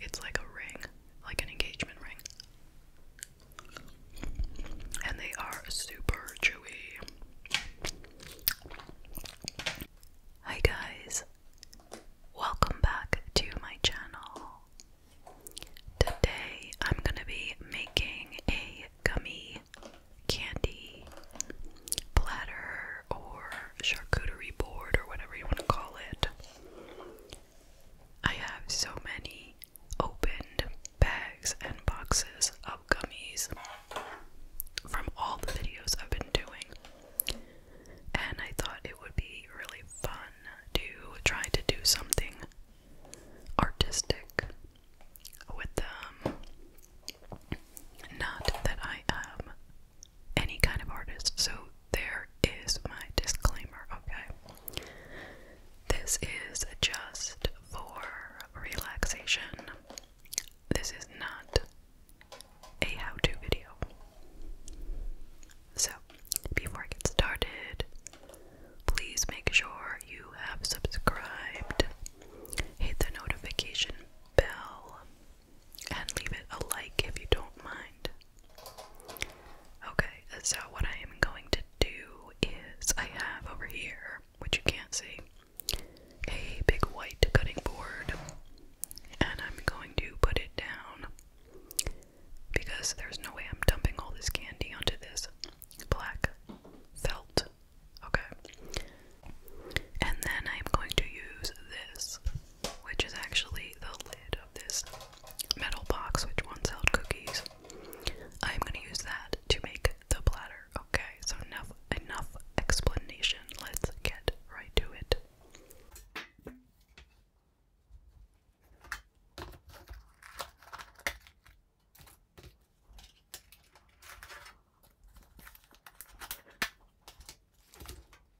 It's like a ring, like an engagement ring. And they are super chewy. Hi guys. Welcome back to my channel. Today I'm going to be making a gummy candy platter or charcuterie board or whatever you want to call it. I have so many opened bags and boxes of gummies from all the videos I've been doing, and I thought it would be really fun to try to do something artistic with them. Not that I am any kind of artist. So there is my disclaimer, okay? This is just for relaxation. This is not a how to video. So, before I get started, please make sure you have subscribed, hit the notification bell, and leave it a like if you don't mind. Okay, so what I am going to do is I have over here, which you can't see, a big white cutting board, and I'm going to put it down because there's no way I'm dumping all this candy onto this black felt. Okay. And then I'm going to use this, which is actually the lid this metal box which once held cookies. I'm gonna use that to make the platter. Okay, so enough enough explanation. Let's get right to it.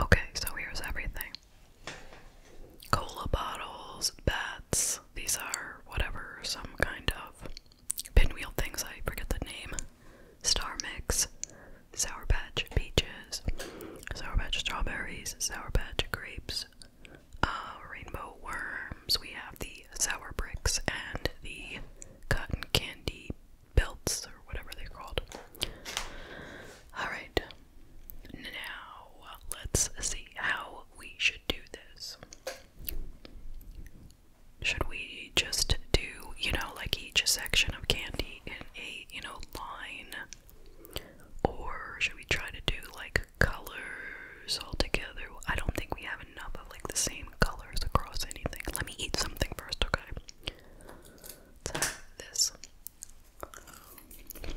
Okay, so here's everything cola bottles, bats. These are whatever, some kind of pinwheel things, I forget the name. Star mix, sour patch peaches, sour patch strawberries, sour patch grapes, uh, rainbow worms. We have the sour bricks and the cotton candy belts, or whatever they're called. Alright, now, let's see how we should do this. Should we just do, you know, like each section of candy in a, you know, line? Or should we try to do like colors all together? I don't think we have enough of like the same colors across anything. Let me eat something first, okay? this. Okay.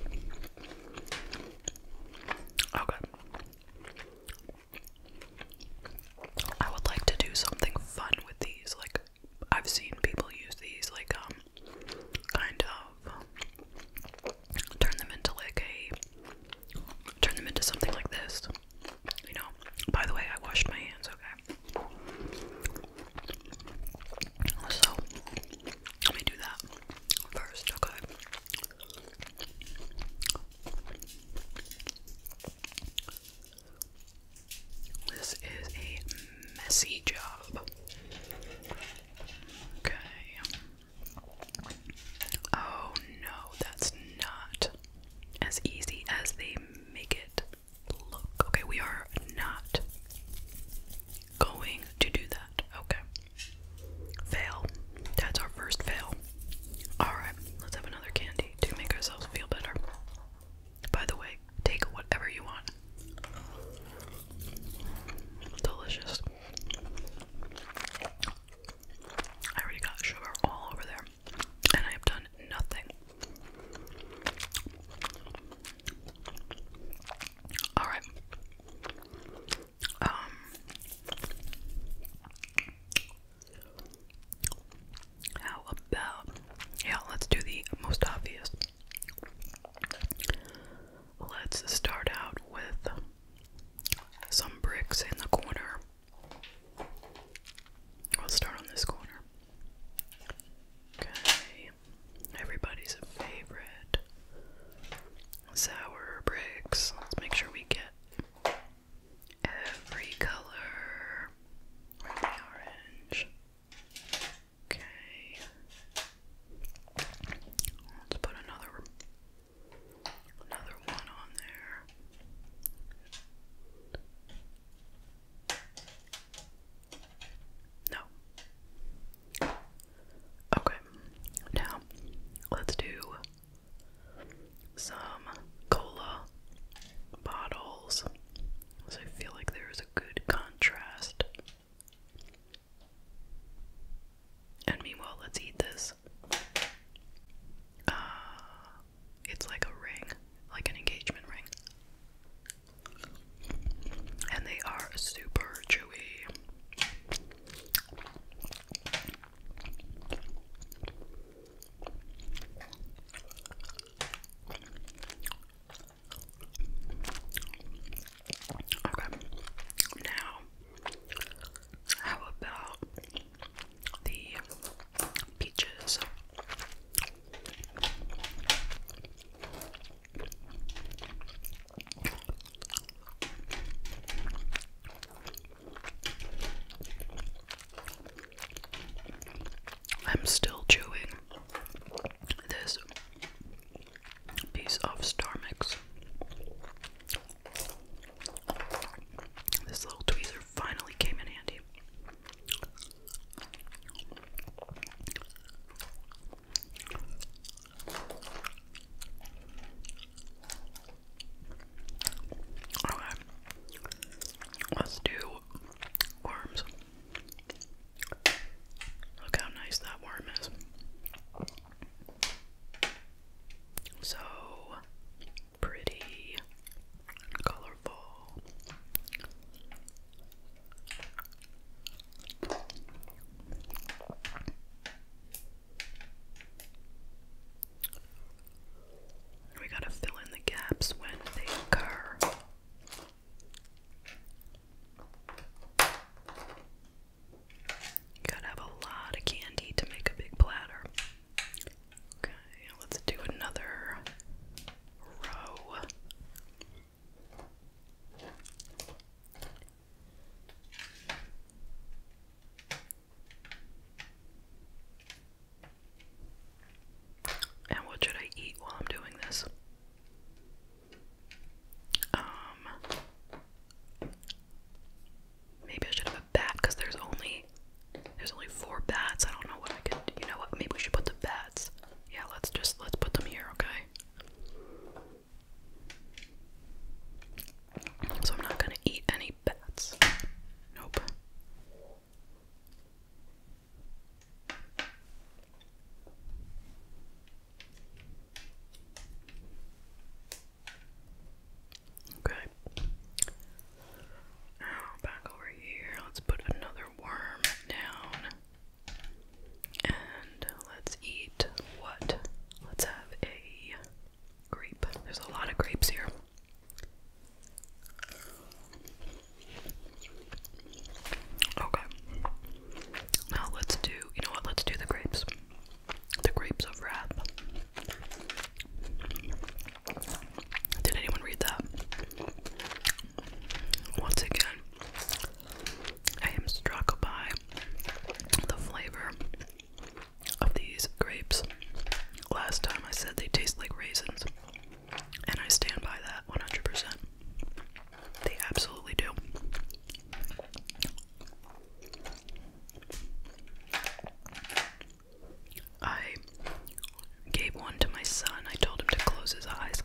I would like to do something fun with these. Like, I've seen people use these, like, um, kind of turn them into like a turn them into something like this. You know, by the way, I washed my hands, okay? So, let me do that first, okay? This is a messy job. Okay. Oh no, that's not as easy as they make it look. Okay, we are not going to do that. Okay. Fail. That's our first fail. Alright, let's have another candy to make ourselves feel better. By the way, take whatever you want. Delicious. I already got sugar all over there, and I have done nothing. All right. Um, how about yeah? Let's do the most obvious. Let's start out with some bricks in the corner. Let's start on this corner. Okay. Everybody's a favorite. Sour bricks. Let's make sure we get every color. orange? Okay. Let's put another another one on there. No. Okay, now let's do some cola bottles. I feel like there is a good contrast. And meanwhile, let's eat this. Uh, it's like a ring, like an engagement ring and they are super chewy. Okay, now how about the peaches? I'm still chewing this piece of Star Mix. This little tweezer finally came in handy. Okay. Let's do worms. Look how nice that worm is. So pretty, colorful. We gotta fill in the gaps when they occur. gotta have a lot of candy to make a big platter. Okay, let's do another row. And what should I eat while I'm doing this? Um, maybe I should have a bat because there's only there's only four bats. I don't know what I could. You know what? Maybe we should put the bats. Yeah, let's just let's put them here. Okay. So I'm not gonna eat any bats. Nope. Okay. Now back over here. Let's put another worm down. And let's eat what? Let's have a grape. There's a lot of grapes here. Okay. Now let's do, you know what? Let's do the grapes. The grapes of wrath. Did anyone read that? Once again, I am struck by the flavor of these grapes. Last time I said they taste like raisins, and I stand by that 100%. They absolutely do. I gave one to my son. I told him to close his eyes.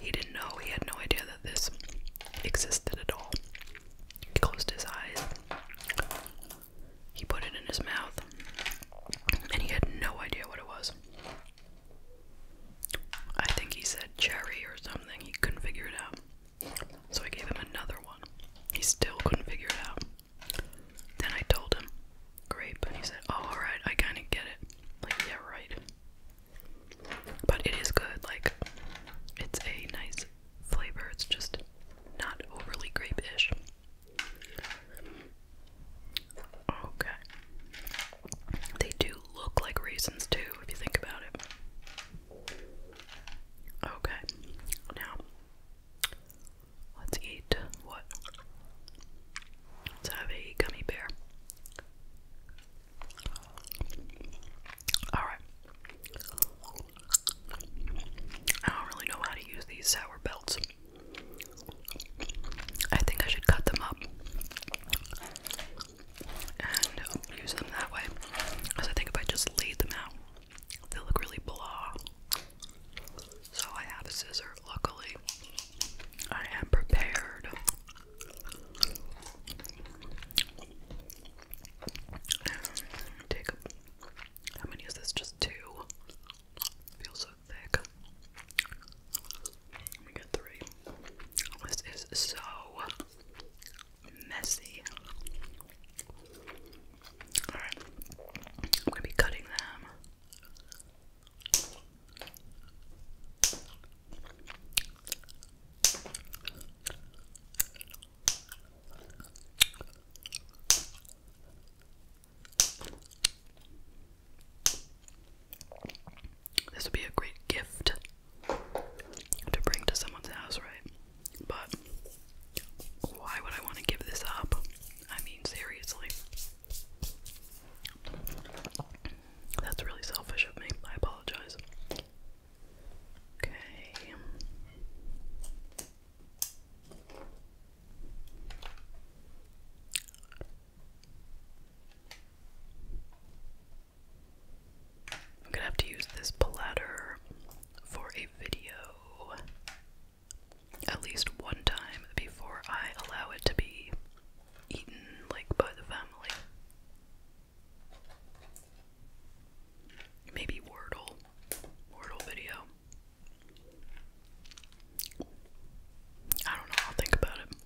He didn't know, he had no idea that this existed at all. He closed his eyes, he put it in his mouth, and he had no idea what it was. I think he said cherry or something, he couldn't figure it out. So I gave him another one. He still couldn't figure it out. Then I told him grape, and he said, Oh, alright, I kinda get it. Like, yeah, right. But it is good, like, it's a nice flavor, it's just not overly grape ish. Okay. They do look like raisins, too, if you think about it. Okay, now let's eat what? Let's have a gummy bear. Alright. I don't really know how to use these sour belts. I think I should cut them up and use them that way. Because I think if I just laid them out, they look really blah. So I have a scissor, luckily. I am prepared. Take gonna use this? Just two. Feels so thick. Let get three. This is so messy. Alright. I'm gonna be cutting them. This would be a great gift to bring to someone's house, right? But why would I want to give this up? I mean, seriously. That's really selfish of me. I apologize. Okay. I'm gonna have to use this platter for a video at least one time before I allow it to be eaten like by the family. Maybe Wordle. Wordle video. I don't know, I'll think about it.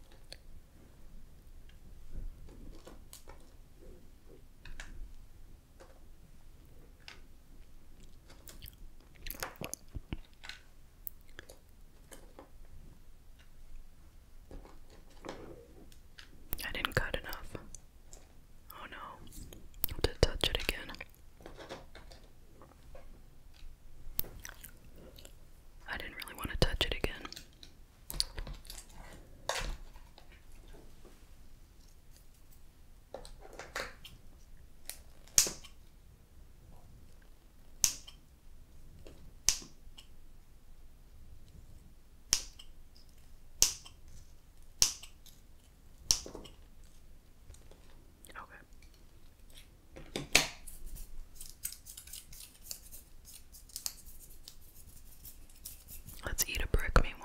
I didn't cut enough. Oh no. to touch it again. I didn't really want to touch it again. Okay. Let's eat a brick meanwhile.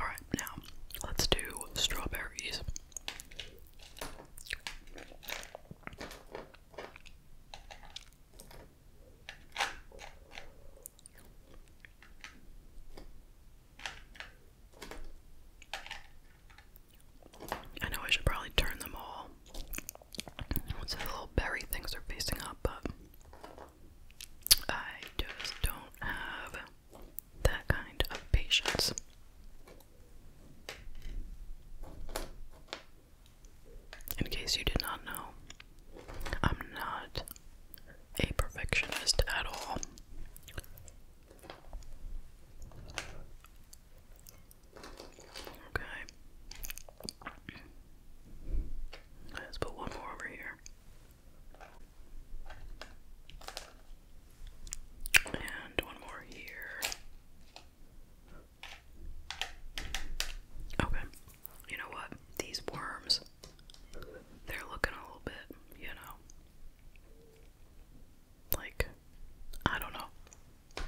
Alright, now let's do strawberries. I know I should probably turn them all so the little berry things are facing up, but I just don't have that kind of patience. In case you did not know, I'm not a perfectionist at all. Okay. Let's put one more over here. And one more here. Okay. You know what? These worms, they're looking a little bit, you know. Like, I don't know.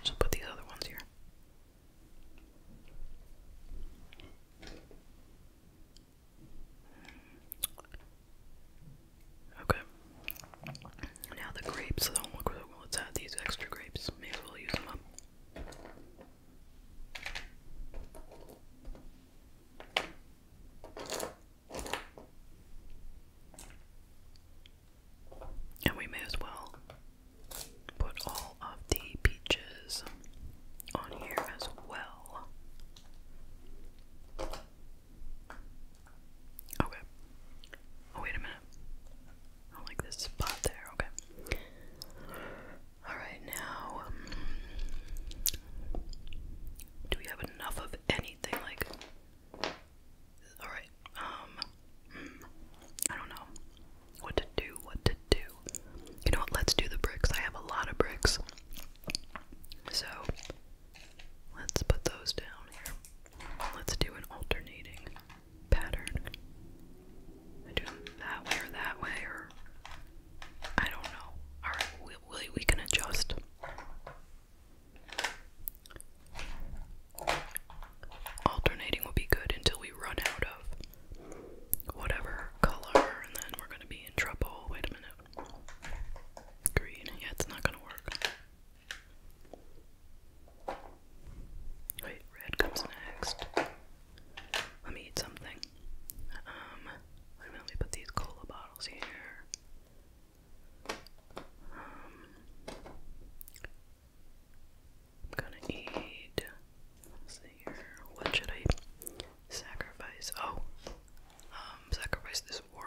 Just put these other ones here. Okay. Now the grapes. So let's add these extra grapes. May as well use them up. And we may as well put all of the peaches on here as well. Okay. Oh, wait a minute. I like this spot there. Okay. Alright, now. Um, do we have enough of anything? Like, Alright, um, hmm, I don't know what to do, what to do. You know what? Let's do the bricks. I have a lot of bricks. So, let's put those down here. Let's do an alternating pattern. do them that way or that way or I don't know. Alright, we, we can adjust. Alternating will be good until we run out of whatever color, and then we're gonna be in trouble. Wait a minute. Green. Yeah, it's not gonna work. Wait, red comes next. Let me eat something. Um, let me put these cola bottles here. Um, I'm gonna eat. see here. What should I sacrifice? Oh, um, sacrifice this worm.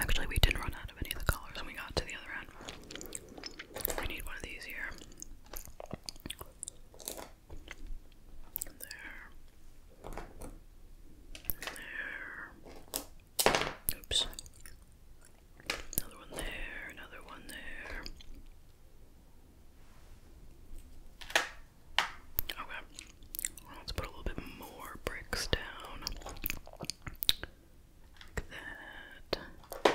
Actually, we didn't run out of any of the colors when we got to the other end. We need one of these here. there. there. Oops. Another one there, another one there. Okay. Let's put a little bit more bricks down. Like that. Um,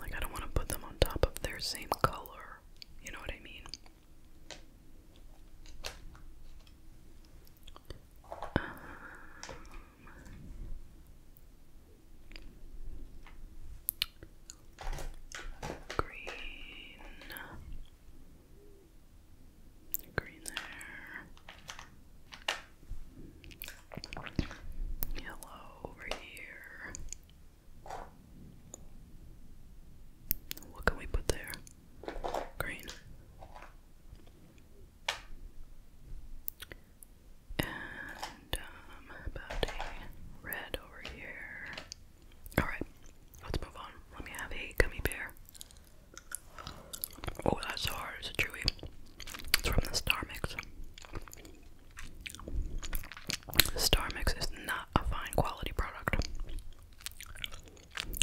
like I don't want to put them on top of their same color. You know what I mean? Um, green, green there, yellow over here. What can we put there? Green. And um, about a red over here. Alright, let's move on. Let me have a gummy bear. Oh, that's hard. It's a chewy. It's from the Star Mix. Star Mix is not a fine quality product.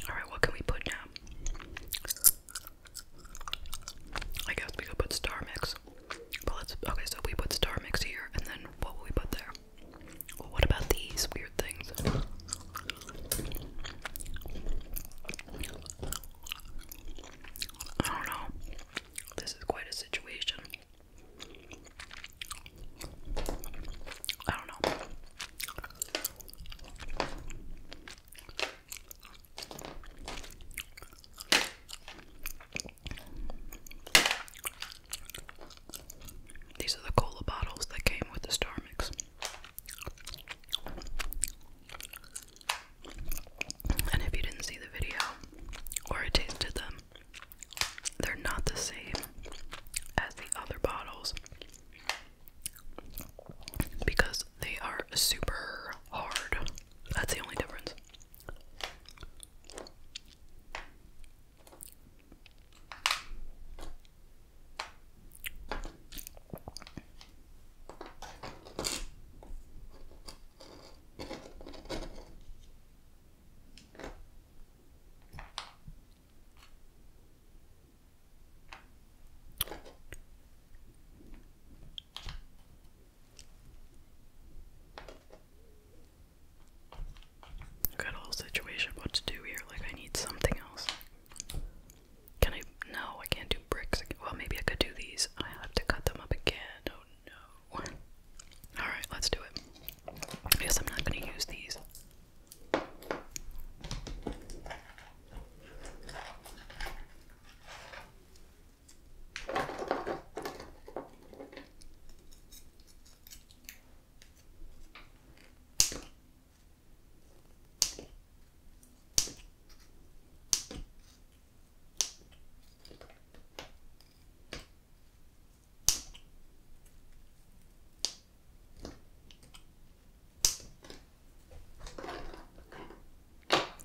Alright, what can we put now? I guess we could put Star Mix. But let's okay, so we put Star Mix here and then what will we put there? what about these weird things? I don't know. This is quite a situation. I don't know. These are the cola bottles that came with the Star Mix. And if you didn't see the video, or tasted them, they're not the same as the other bottles because they are super hard. That's the only difference. Got a whole situation what to do here, like I need something else. Can I no, I can't do bricks Well maybe I could do these. I have to cut them up again. Oh no. Alright, let's do it. I guess I'm not going to use these.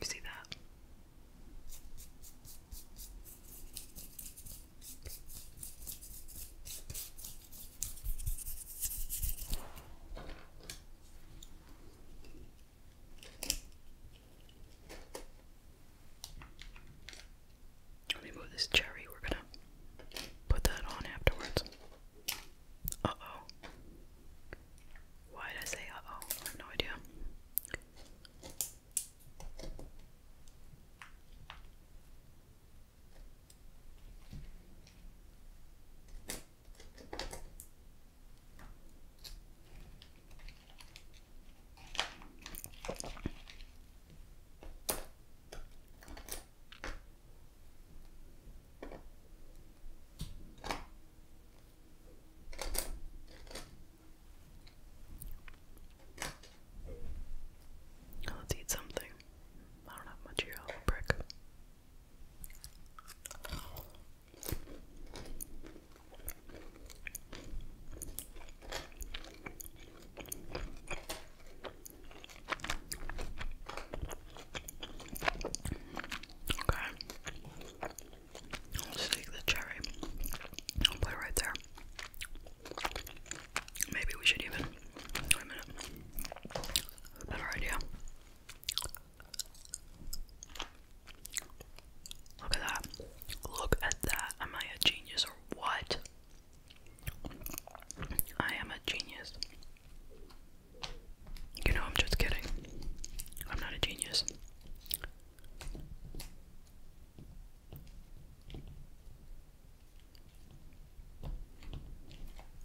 You see that? Let me move this cherry. We're gonna put that on afterwards. Uh oh. Why did I say uh oh? I have no idea. Let's eat something. I don't have much here. brick. Okay. I'll take the cherry. I'll put it right there. Maybe we should even wait a minute. Better idea. Look at that. Look at that. Am I a genius or what? I am a genius. You know, I'm just kidding. I'm not a genius.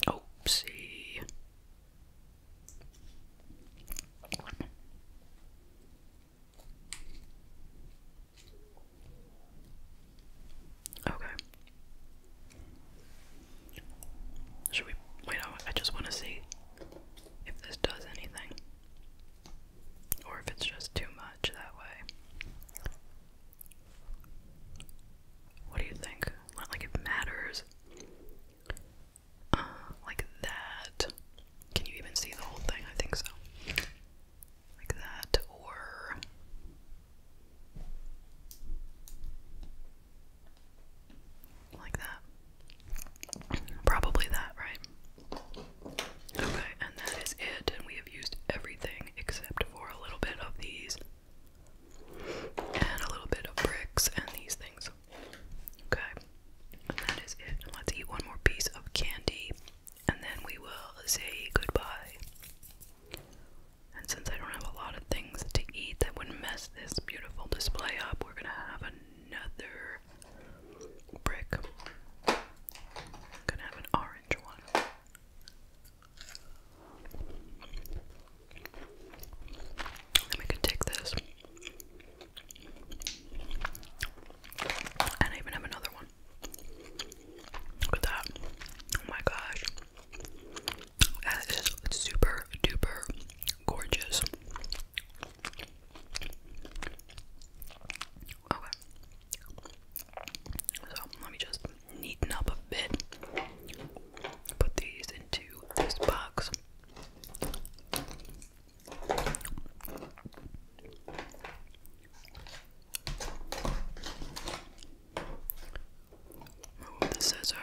Oopsie. Okay. Should we wait? I just want to see if this does anything, or if it's just too much that way. What do you think? like it matters. Uh, like that. Can you even see the whole thing? I think so like that, or like that. Probably that, right? Okay, and that is it, and we have used everything except for a little bit of these and a little bit of bricks and these things. Okay, and that is it. And let's eat one more piece of candy and then we will say goodbye. And since I don't have a lot of things to eat that would mess this beautiful display up, we're gonna have another brick. gonna have an orange one. we can take this. And I even have another one with that. Oh my gosh. That is super duper gorgeous. Okay. So let me just neaten up a bit. Put these into this box. Move the scissor.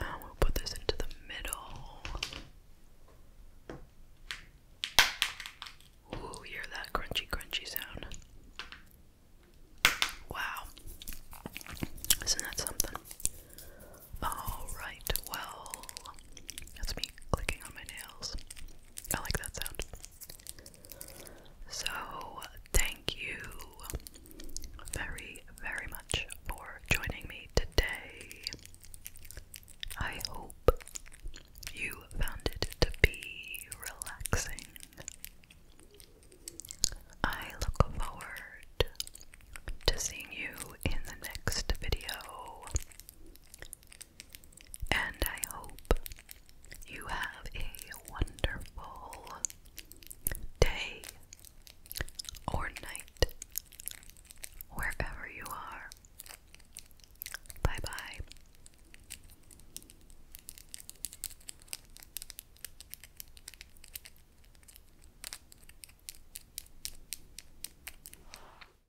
Now we'll put this into the middle. Ooh, hear that crunchy, crunchy sound. Wow. Isn't that something? Alright, well, that's me clicking on my nails. I like that sound. So, thank you very, very much for joining me today. I hope you found it to be relaxing. I look forward to seeing you in the next video. And I hope you have a wonderful day or night wherever you are. Bye bye.